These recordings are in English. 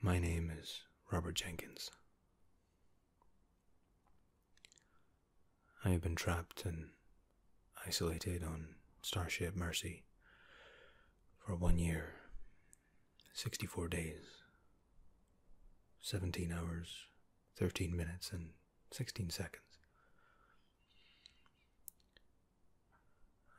My name is Robert Jenkins. I have been trapped and isolated on Starship Mercy for one year, 64 days, 17 hours, 13 minutes, and 16 seconds.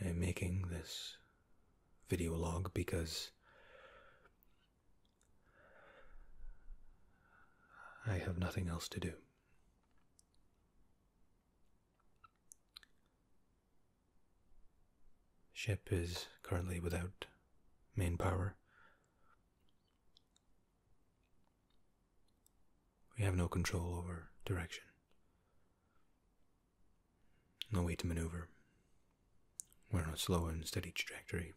I am making this video log because I have nothing else to do. Ship is currently without main power. We have no control over direction, no way to maneuver. We're on a slow and steady trajectory.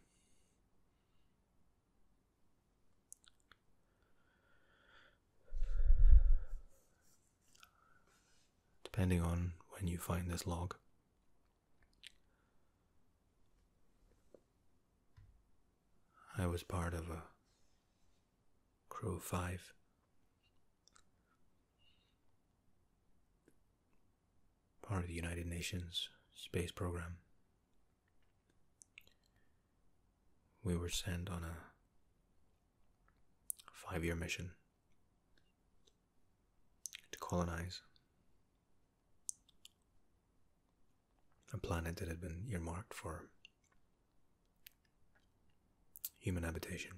Depending on when you find this log, I was part of a Crow 5. Part of the United Nations space program. We were sent on a five year mission to colonize a planet that had been earmarked for Human habitation.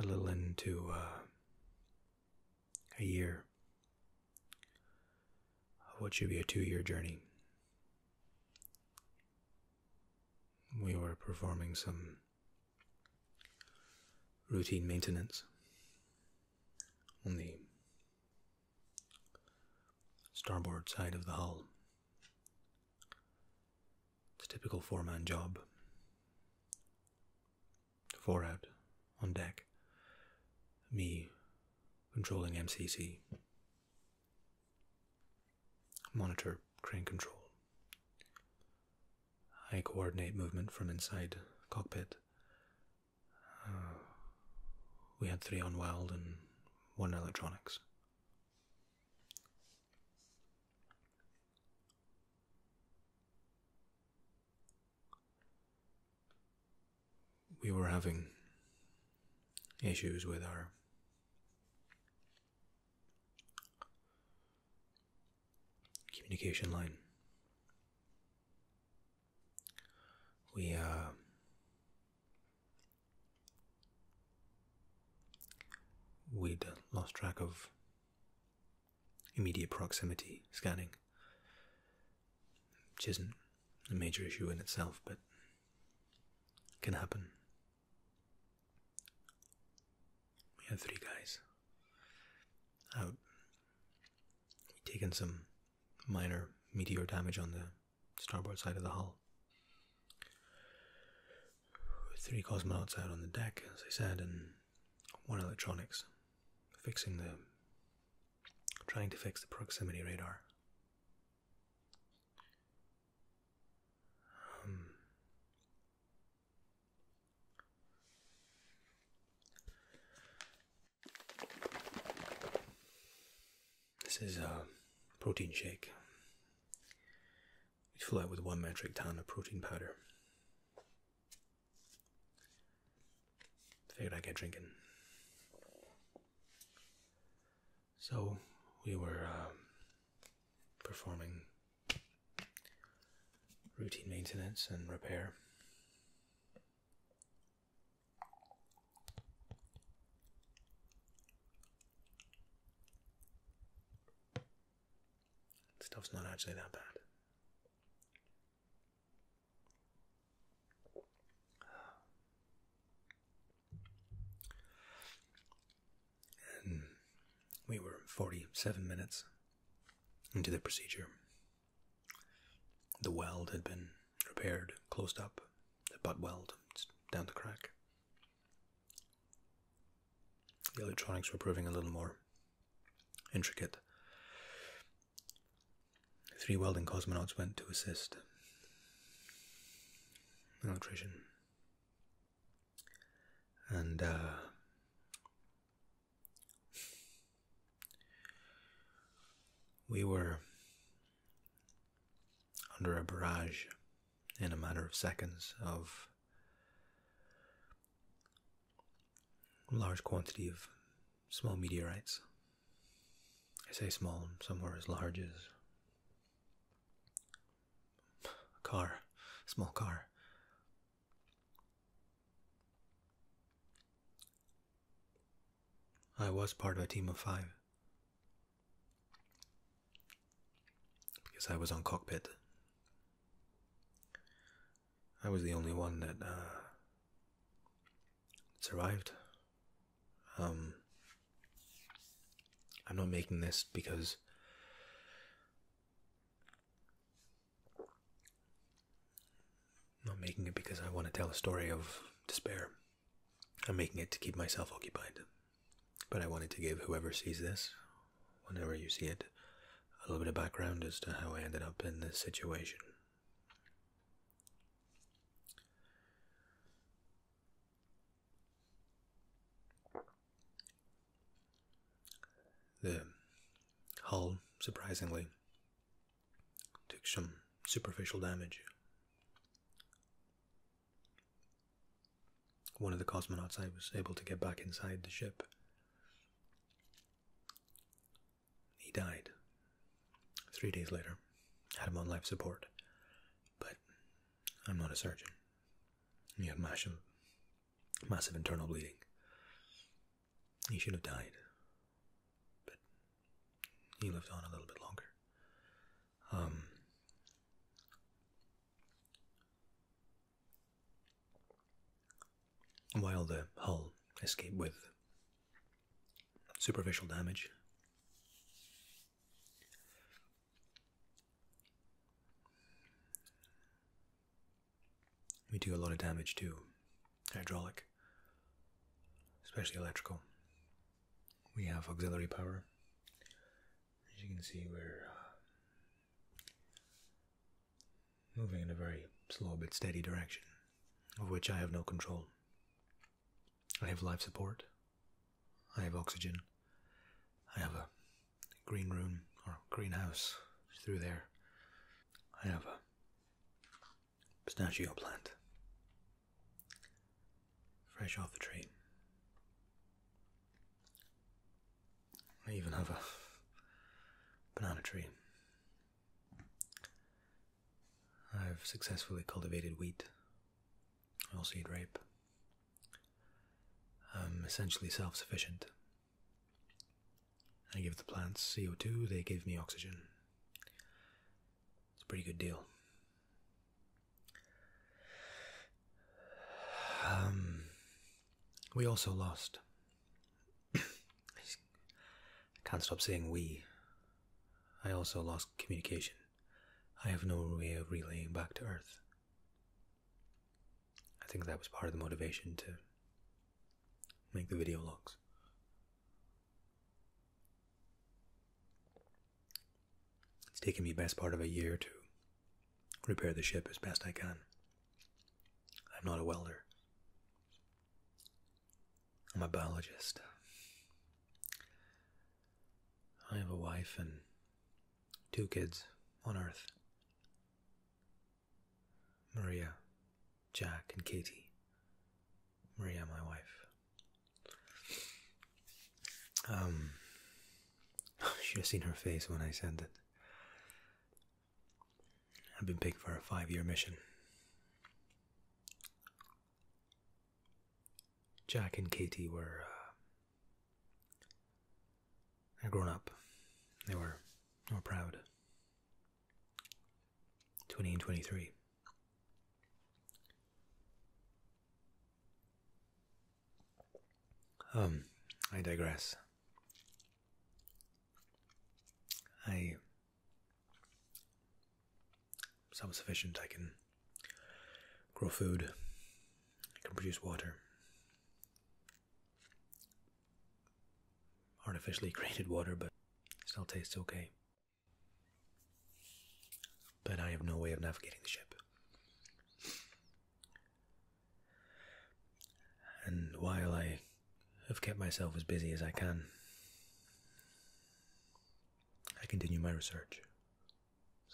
A little into uh, a year of what should be a two year journey. We were performing some routine maintenance on the starboard side of the hull. It's a typical four man job. Four out on deck, me controlling MCC, monitor crane control. I coordinate movement from inside cockpit. Uh, we had three on wild and one electronics. We were having issues with our communication line. We uh, we lost track of immediate proximity scanning, which isn't a major issue in itself, but can happen we have three guys out. We've taken some minor meteor damage on the starboard side of the hull. Three cosmonauts out on the deck, as I said, and one electronics fixing the. trying to fix the proximity radar. Um, this is a protein shake. We fill it with one metric ton of protein powder. Figured I'd get drinking. So we were uh, performing routine maintenance and repair. Stuff's not actually that bad we were 47 minutes into the procedure. The weld had been repaired, closed up, the butt weld, it's down the crack. The electronics were proving a little more intricate. Three welding cosmonauts went to assist an electrician and uh, we were under a barrage in a matter of seconds of a large quantity of small meteorites. I say small, some were as large as a car, a small car. I was part of a team of five. Because I was on cockpit. I was the only one that uh, survived. Um, I'm not making this because i not making it because I want to tell a story of despair. I'm making it to keep myself occupied. But I wanted to give whoever sees this, whenever you see it, a little bit of background as to how I ended up in this situation. The hull, surprisingly, took some superficial damage. One of the cosmonauts I was able to get back inside the ship. He died three days later. Had him on life support. But I'm not a surgeon. He had massive, massive internal bleeding. He should have died. But he lived on a little bit longer. Um, while the hull escaped with superficial damage, we do a lot of damage too, hydraulic, especially electrical. We have auxiliary power. As you can see, we're uh, moving in a very slow but steady direction, of which I have no control. I have life support I have oxygen. I have a green room or greenhouse through there. I have a pistachio plant. Fresh off the tree. I even have a banana tree. I've successfully cultivated wheat or seed rape. I'm um, essentially self sufficient. I give the plants CO2, they give me oxygen. It's a pretty good deal. Um, we also lost. can't stop saying we. I also lost communication. I have no way of relaying back to Earth. I think that was part of the motivation to make the video logs. It's taken me best part of a year to repair the ship as best I can. I'm not a welder. I'm a biologist. I have a wife and Two kids on Earth Maria, Jack, and Katie. Maria, my wife. Um, should have seen her face when I said that. I've been picked for a five year mission. Jack and Katie were uh, they're grown up. They were, they were proud. 20 and 23. Um, I digress. I. Self sufficient, I can grow food, can produce water. Artificially created water, but still tastes okay. But I have no way of navigating the ship. And while I have kept myself as busy as I can, I continue my research.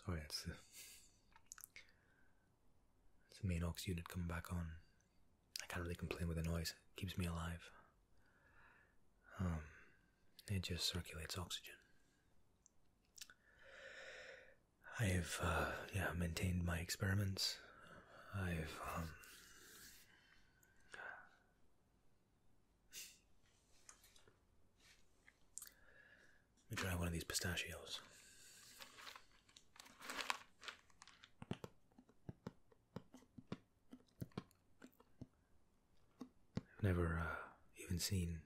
Sorry, it's the, main aux unit coming back on. I can't really complain with the noise, it keeps me alive. Um, it just circulates oxygen. I have, uh, yeah, maintained my experiments. I've, um, let me try one of these pistachios. I've never uh, even seen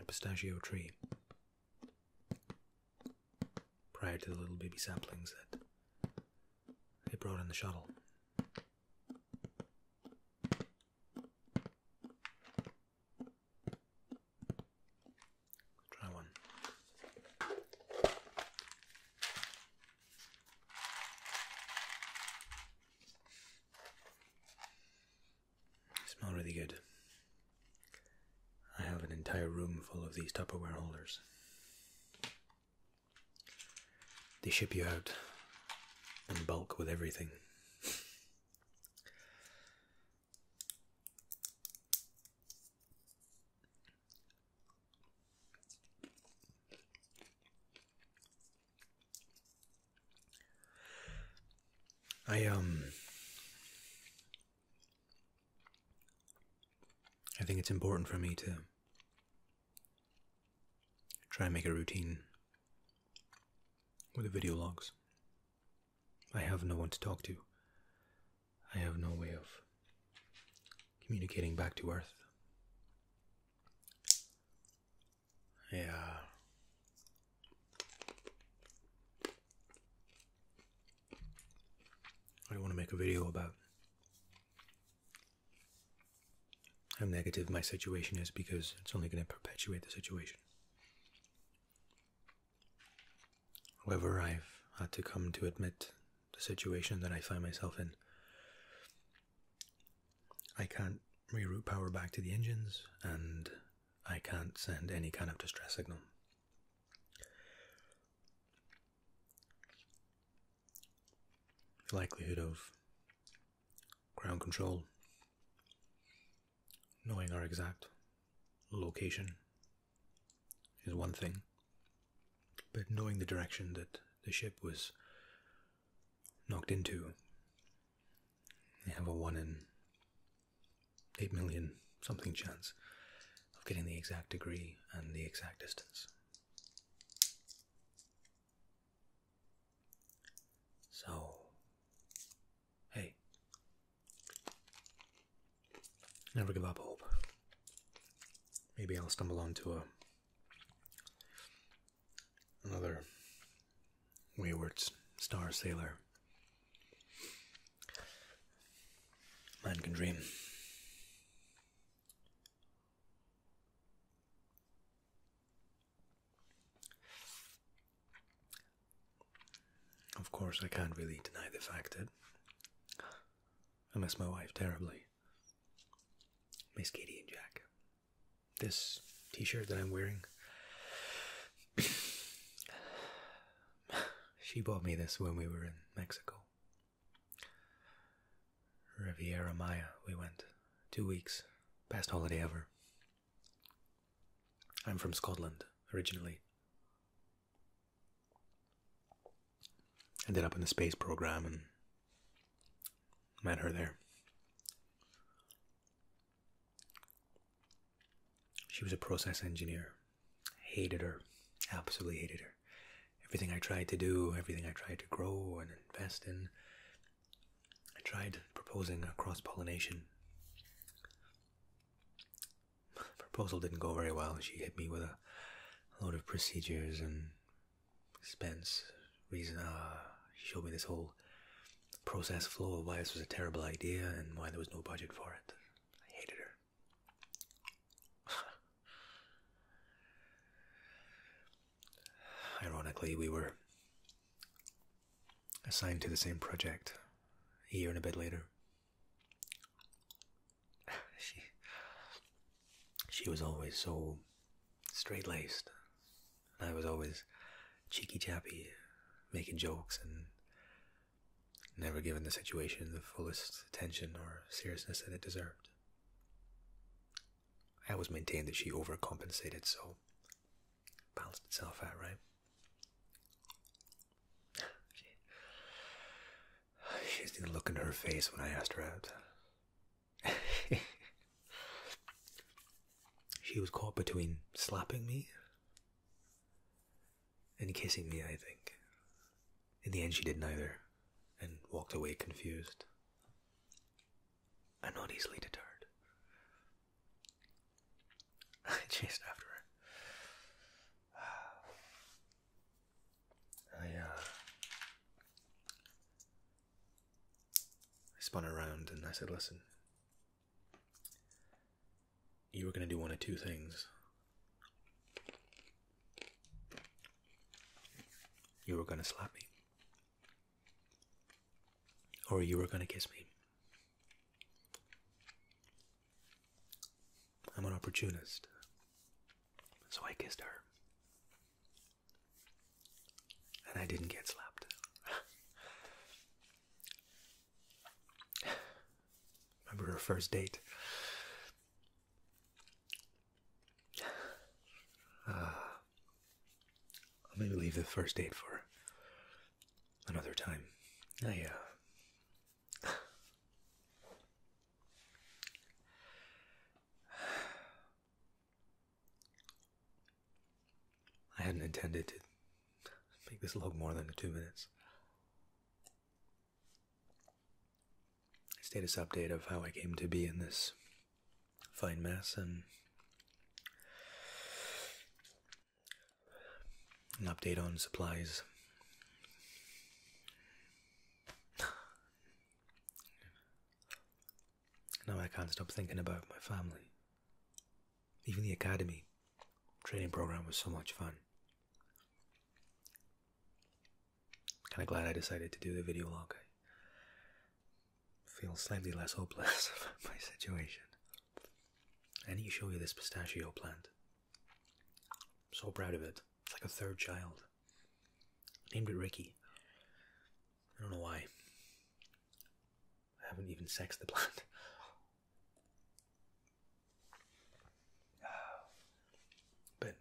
a pistachio tree prior to the little baby saplings that they brought in the shuttle. Try one. smell really good. I have an entire room full of these Tupperware holders. They ship you out in bulk with everything. I um I think it's important for me to try and make a routine with the video logs. I have no one to talk to. I have no way of communicating back to Earth. Yeah. I want to make a video about how negative my situation is because it's only going to perpetuate the situation. However, I've had to come to admit the situation that I find myself in. I can't reroute power back to the engines, and I can't send any kind of distress signal. likelihood of ground control, knowing our exact location is one thing, but knowing the direction that the ship was knocked into, they have a 1 in 8 million something chance of getting the exact degree and the exact distance. So, hey, never give up hope. Maybe I'll stumble onto a another wayward star sailor. Man can dream. Of course, I can't really deny the fact that I miss my wife terribly. Miss Katie and Jack. This t shirt that I'm wearing. she bought me this when we were in Mexico. Riviera Maya, we went. Two weeks. Best holiday ever. I'm from Scotland originally. Ended up in the space program and met her there. She was a process engineer. Hated her. Absolutely hated her. Everything I tried to do, everything I tried to grow and invest in, I tried proposing a cross pollination. Proposal didn't go very well. She hit me with a load of procedures and expense. Reason, uh, she showed me this whole process flow of why this was a terrible idea and why there was no budget for it. I hated her. Ironically, we were assigned to the same project a year and a bit later. she, she was always so straight laced, and I was always cheeky chappy, making jokes and never giving the situation the fullest attention or seriousness that it deserved. I always maintained that she overcompensated, so balanced itself out, right? She She's the look in her face when I asked her out. she was caught between slapping me and kissing me, I think. In the end, she did neither and walked away confused. I'm not easily deterred. I chased after her. I, oh, I spun around and I said, Listen, you were going to do one of two things. You were going to slap me, or you were gonna kiss me. I'm an opportunist. So I kissed her. And I didn't get slapped. Remember her first date? Ah. I'll maybe leave the first date for another time. I, uh, I hadn't intended to make this look more than two minutes. Status update of how I came to be in this fine mess and an update on supplies. now I can't stop thinking about my family. Even the academy training program was so much fun. Kind of glad I decided to do the video log feel slightly less hopeless about my situation. I need to show you this pistachio plant. I'm so proud of it. It's like a third child. named it Ricky. I don't know why. I haven't even sexed the plant. but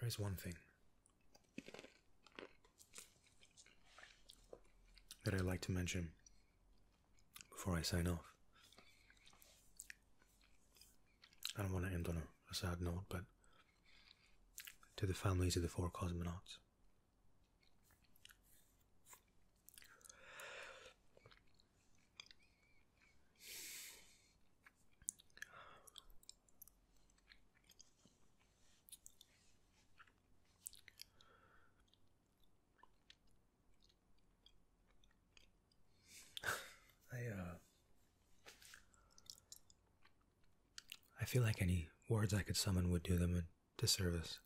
there is one thing that I'd like to mention before I sign off. I don't want to end on a, sad note, but to the families of the four cosmonauts. I uh, I feel like any words I could summon would do them a disservice.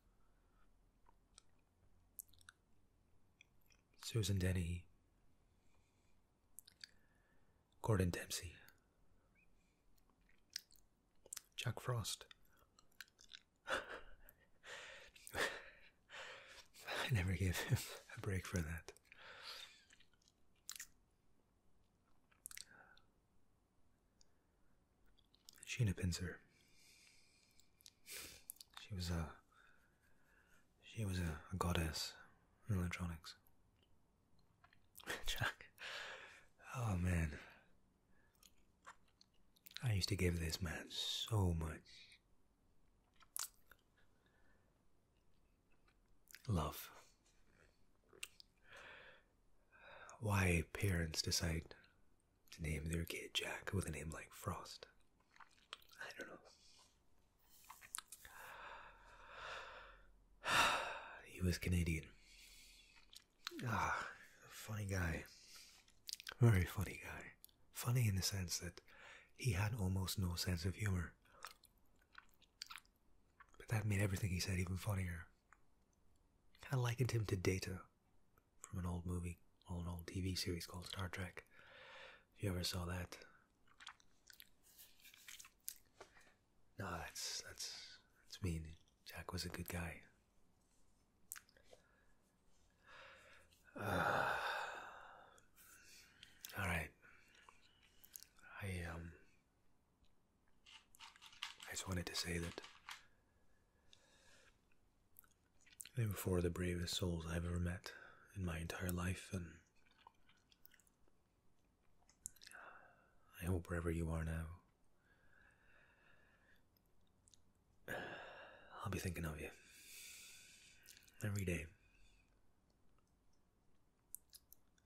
Susan Denny, Gordon Dempsey, Jack Frost. I never gave him a break for that. Sheena Pincer. She was a uh, she was a, goddess in electronics. Jack. Oh man. I used to give this man so much love. Why parents decide to name their kid Jack with a name like Frost. I don't know he was Canadian. Ah, funny guy. Very funny guy. Funny in the sense that he had almost no sense of humor. But that made everything he said even funnier. I likened him to Data from an old movie, or an old TV series called Star Trek. If you ever saw that. No, that's that's that's mean. Jack was a good guy. Uh, all right. I um. I just wanted to say that they were four of the bravest souls I've ever met in my entire life, and I hope wherever you are now, I'll be thinking of you every day.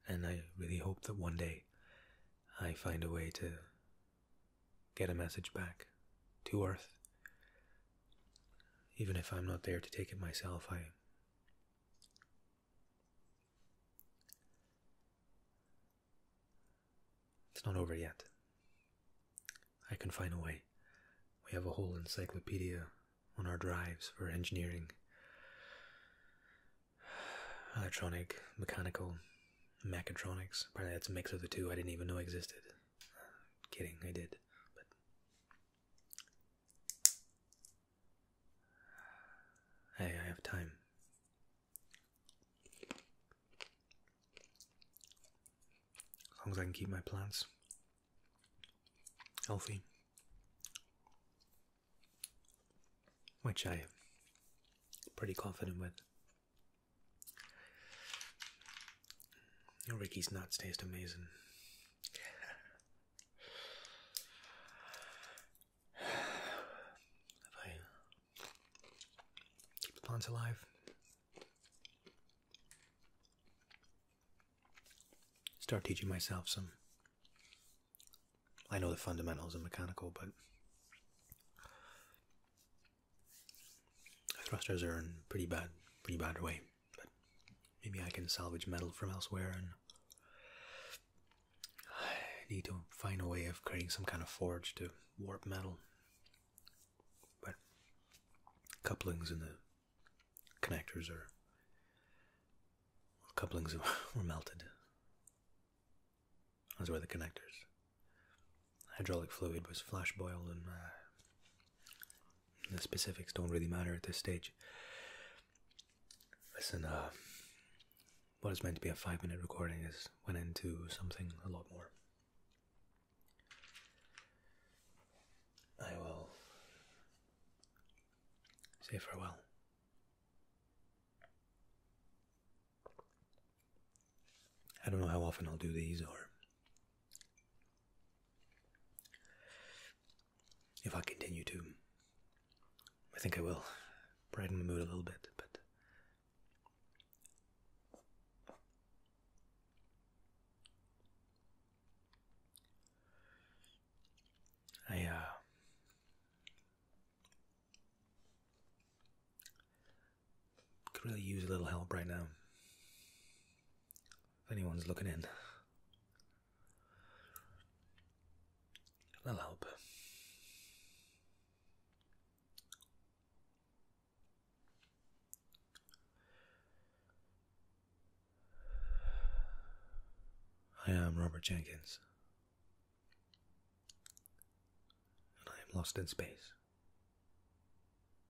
And I really hope that one day I find a way to get a message back to Earth even if I'm not there to take it myself, I It's not over yet. I can find a way. We have a whole encyclopedia on our drives for engineering, electronic, mechanical, mechatronics. Apparently, that's a mix of the two I didn't even know existed. Kidding, I did hey, I have time. As long as I can keep my plants healthy, which I'm pretty confident with. Ricky's nuts taste amazing. if I keep the plants alive, start teaching myself some. I know the fundamentals of mechanical, but thrusters are in pretty bad, pretty bad way but maybe I can salvage metal from elsewhere and need to find a way of creating some kind of forge to warp metal. But couplings in the connectors are couplings were melted. As were the connectors. Hydraulic fluid was flash boiled and uh, the specifics don't really matter at this stage. Listen, uh, what is meant to be a five minute recording is went into something a lot more. I will say farewell. I don't know how often I'll do these or if I continue to, I think I will brighten the mood a little bit, but. I, uh. Could really use a little help right now if anyone's looking in. That'll help. I am Robert Jenkins, and I am lost in space.